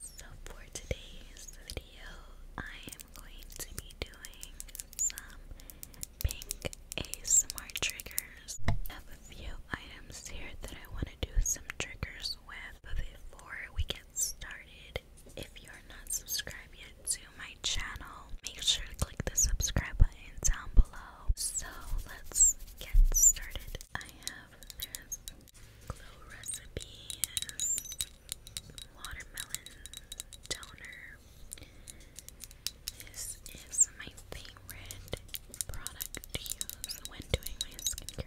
So for today's video, I am going to be doing some pink ASMR triggers. I have a few items here that I want to do some triggers with. But before we get started, if you're not subscribed yet to my channel, make sure to click the subscribe button down below. So let's get started. I have this glow recipe watermelon toner. This is my favorite product to use when doing my skincare.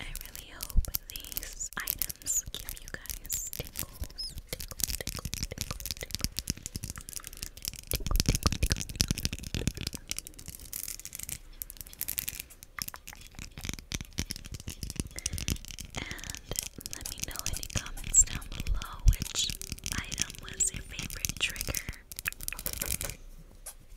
I really hope these items give you guys tingles, And let me know in comments down below which item was your favorite trigger.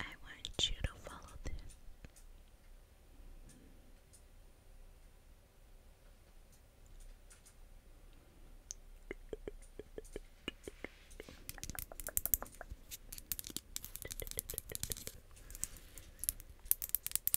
I want you to follow this.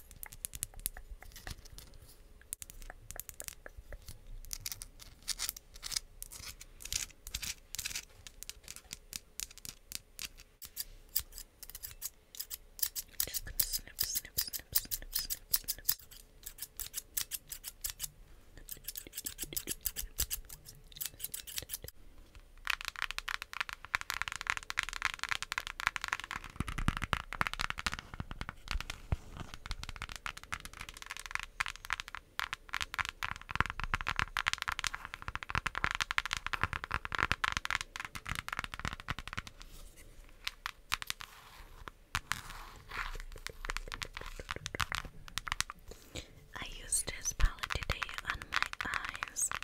Just gonna snip, snip, snip, snip, snip, snip. I used this palette today on my eyes, and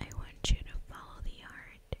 I want you to follow the art.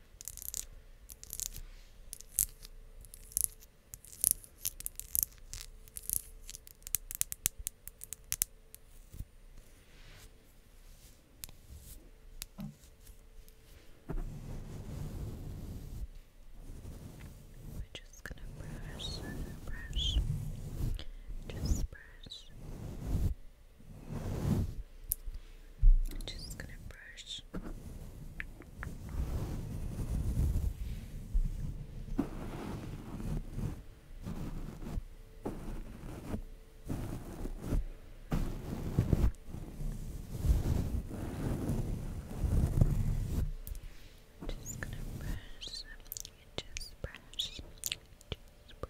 We're just gonna brush, brush, just brush. I'm just gonna brush. I'm just gonna brush, just brush, just brush,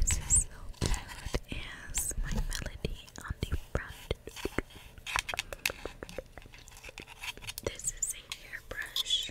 This is so bad as my melody on the front. This is a hairbrush.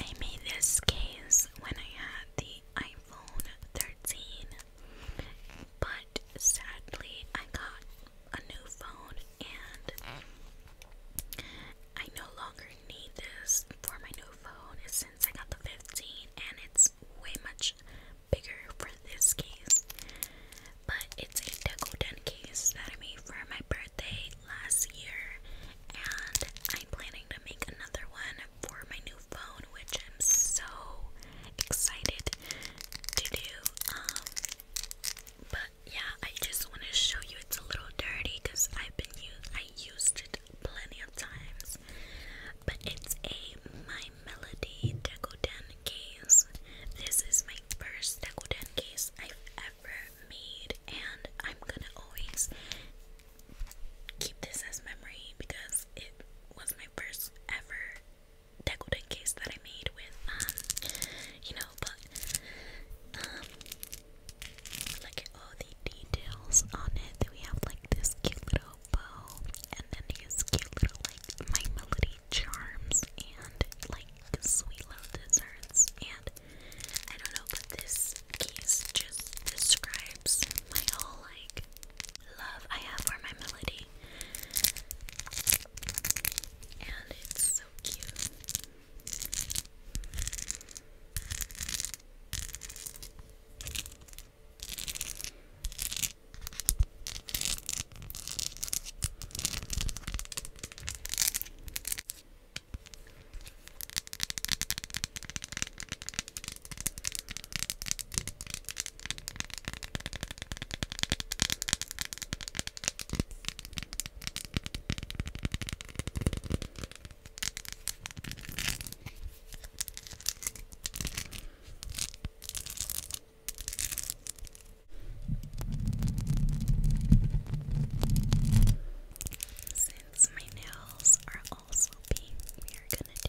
I made this case when I had the iPhone 13 but sadly, I got a new phone and I no longer need this for my new phone since I got the 15 and it's way much bigger for this case. But it's a Deco Den case that I made for my birthday last year and I'm planning to make another one for my new phone, which I'm so excited to do. Um, but yeah, I just want to show you it's a little dirty because I've been used, I used it plenty of times. But it's a My Melody Decoden case. This is my first Decoden case I've ever made, and I'm gonna always keep this as memory because it was my first ever decorating case that I made with um you know but um look at all the details on it that we have like this cute little bow and then these cute little like my melody charms and like sweet little desserts and I don't know but this case just describes my whole like love I have for my melody. And it's so cute. Since my nails are also pink, we are going to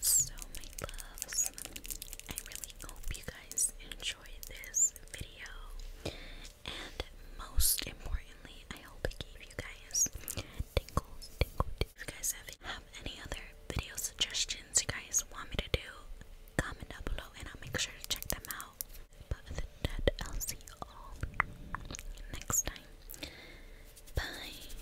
So, my loves, I really hope you guys enjoyed enjoyed this video. And most importantly, I hope it gave you guys tingles, tingles. If you guys have, any other video suggestions you guys want me to do, comment down below and I'll make sure to check them out. But other I'll see you all next time. Bye.